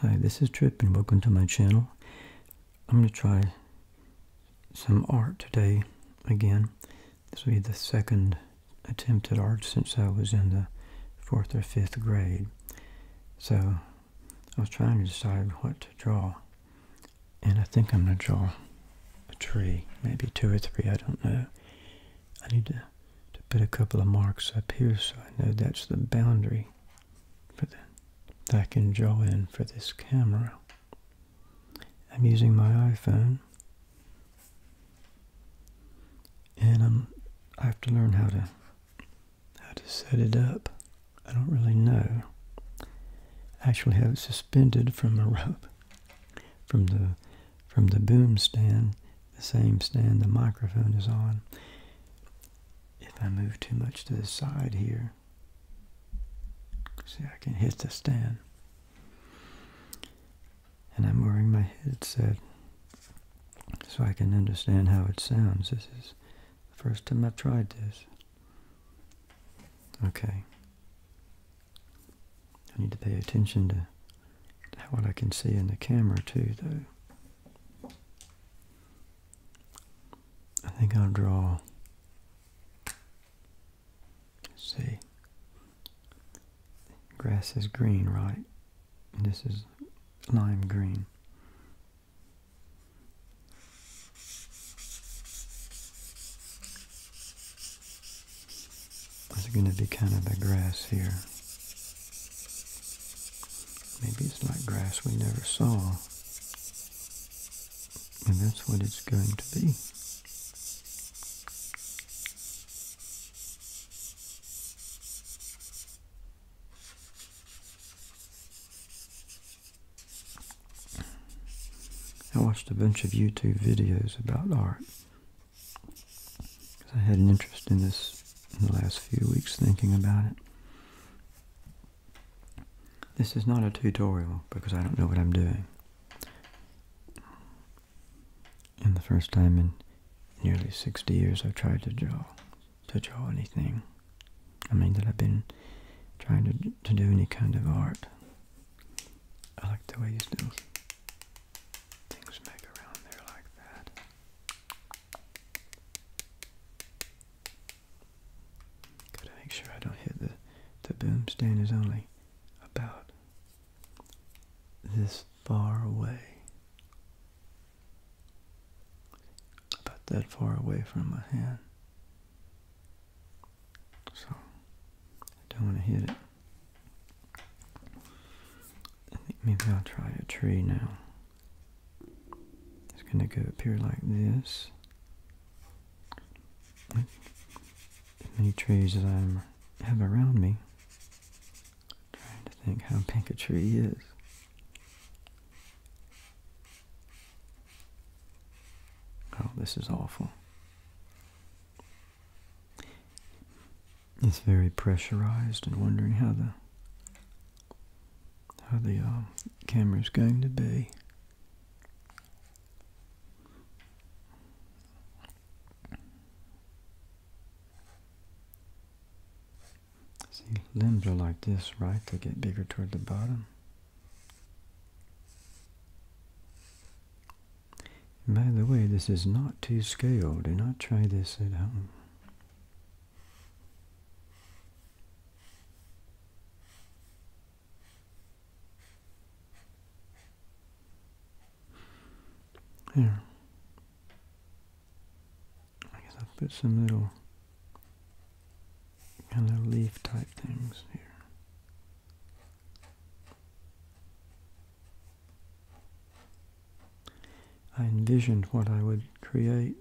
Hi, this is Trip and welcome to my channel. I'm going to try some art today again. This will be the second attempt at art since I was in the fourth or fifth grade. So I was trying to decide what to draw and I think I'm going to draw a tree, maybe two or three, I don't know. I need to, to put a couple of marks up here so I know that's the boundary for that I can draw in for this camera. I'm using my iPhone and I'm, I have to learn how to how to set it up. I don't really know. I actually have it suspended from a rope from the from the boom stand the same stand the microphone is on. If I move too much to the side here, see I can hit the stand. And I'm wearing my headset so I can understand how it sounds. This is the first time I've tried this. Okay. I need to pay attention to what I can see in the camera too, though. I think I'll draw, see, grass is green, right? this is lime green. It's going to be kind of a grass here. Maybe it's like grass we never saw. And that's what it's going to be. I watched a bunch of YouTube videos about art because I had an interest in this in the last few weeks thinking about it. This is not a tutorial because I don't know what I'm doing. And the first time in nearly 60 years I've tried to draw, to draw anything. I mean that I've been trying to, to do any kind of art. I like the way he does things make around there like that. Gotta make sure I don't hit the the boom stand is only about this far away. About that far away from my hand. So I don't want to hit it. I think maybe I'll try a tree now. It's going to go up here like this. As many trees as I have around me. trying to think how big a tree is. Oh, this is awful it's very pressurized and wondering how the how the uh, camera's going to be. See, limbs are like this, right? They get bigger toward the bottom. By the way, this is not to scale. Do not try this at home. Here. I guess I'll put some little kind of leaf type things here. I envisioned what I would create,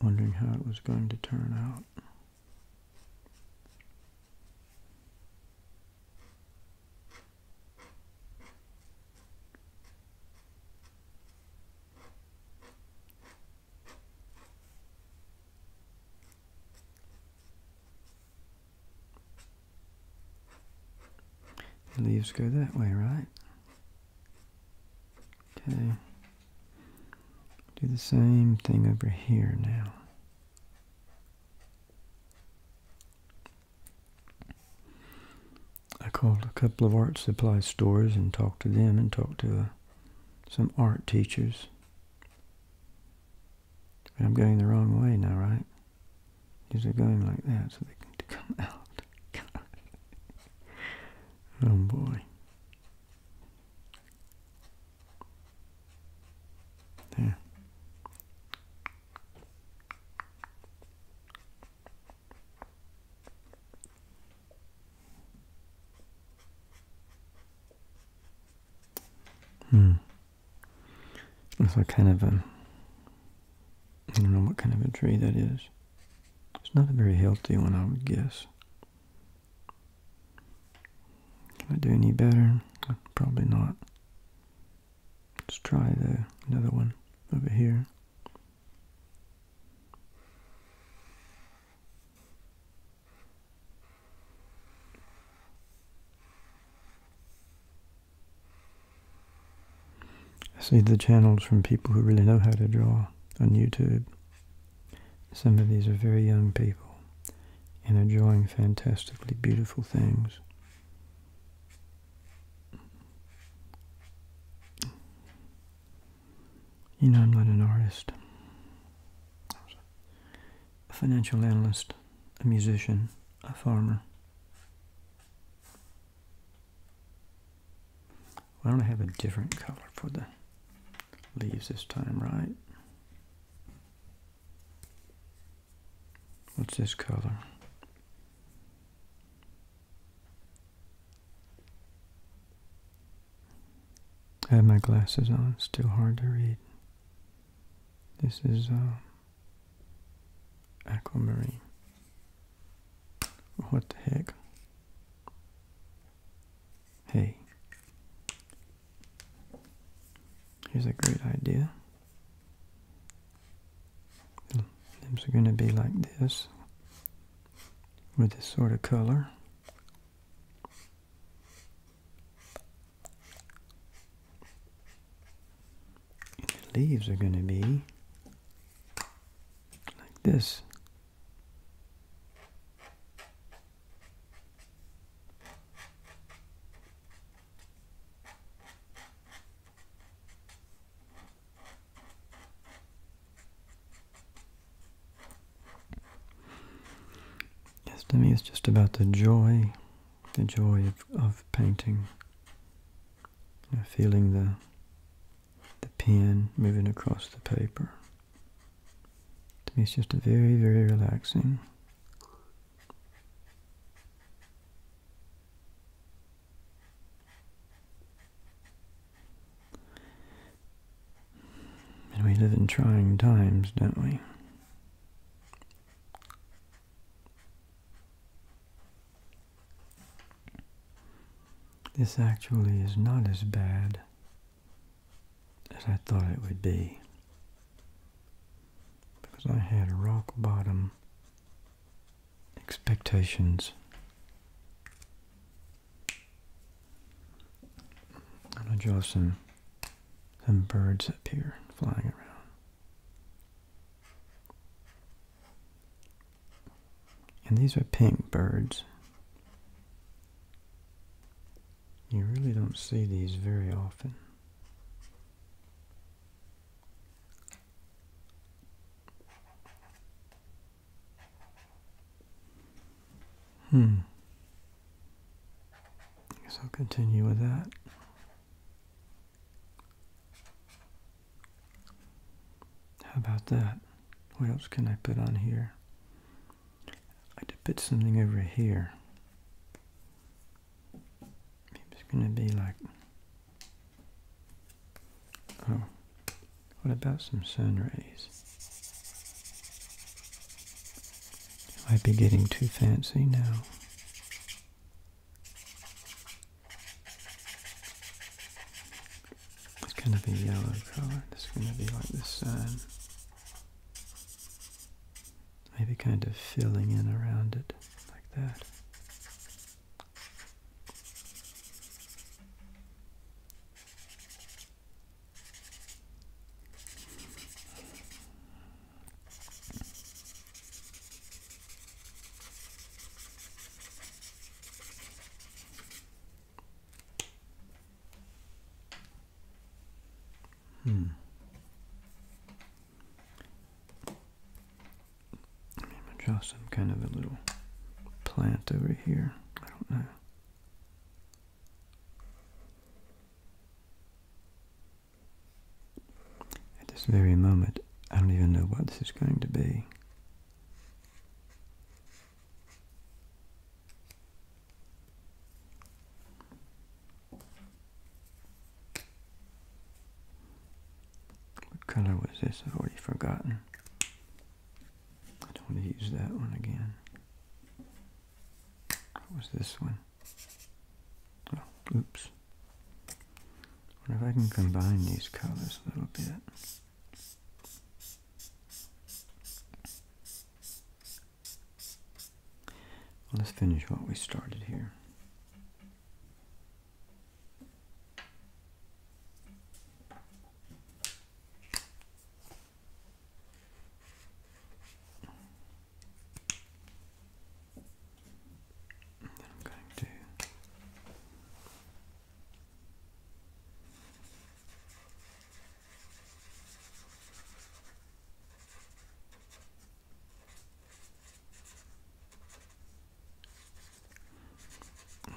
wondering how it was going to turn out. The leaves go that way, right? Okay. Do the same thing over here now. I called a couple of art supply stores and talked to them and talked to uh, some art teachers. I'm going the wrong way now, right? Is it going like that so they can come out. oh boy. There. Hmm. It's like kind of a I don't know what kind of a tree that is. It's not a very healthy one, I would guess. Can I do any better? Probably not. Let's try the another one over here. I see the channels from people who really know how to draw on YouTube. Some of these are very young people and are drawing fantastically beautiful things. You know, I'm not an artist. A financial analyst, a musician, a farmer. Why don't I have a different color for the leaves this time, right? What's this color? I have my glasses on. It's too hard to read. This is uh, aquamarine. What the heck? Hey, here's a great idea. The limbs are going to be like this with this sort of color the leaves are going to be like this. Yes, to me it's just about the joy, the joy of, of painting feeling the, the pen moving across the paper. To me, it's just a very, very relaxing And we live in trying times, don't we? This actually is not as bad as I thought it would be because I had rock bottom expectations. I'm going to draw some, some birds up here flying around. And these are pink birds. You really don't see these very often. Hmm. I guess I'll continue with that. How about that? What else can I put on here? I have to put something over here. Maybe it's going to be like... Oh, what about some sun rays? I be getting too fancy now. It's kind of a yellow colour. It's going to be like the sun. Maybe kind of filling in around it like that. Hmm. I mean, I draw some kind of a little plant over here. I don't know. At this very moment, I don't even know what this is going to be. What color was this? I've already forgotten. I don't want to use that one again. What was this one? Oh, oops. What if I can combine these colors a little bit? let's finish what we started here.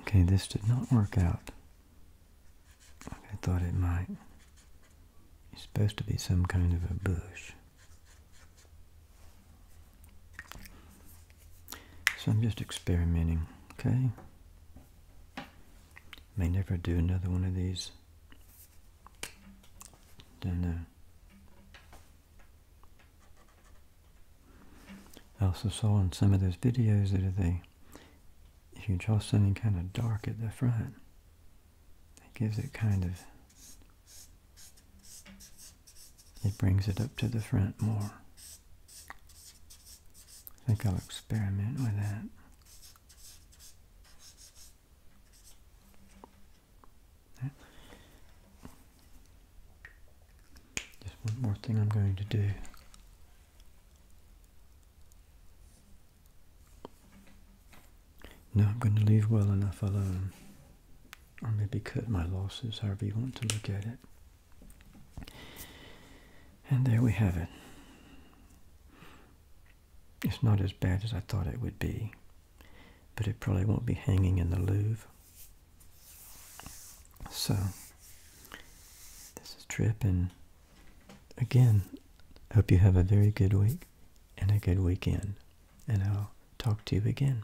Okay, this did not work out. I thought it might. It's supposed to be some kind of a bush. So I'm just experimenting, okay? May never do another one of these. Don't know. I also saw in some of those videos that if you draw something kind of dark at the front, it gives it kind of it brings it up to the front more. I think I'll experiment with that. Just one more thing I'm going to do. Now I'm going to leave well enough alone. Or maybe cut my losses, however you want to look at it. And there we have it. It's not as bad as I thought it would be, but it probably won't be hanging in the Louvre. So, this is Trip, and again, hope you have a very good week and a good weekend, and I'll talk to you again.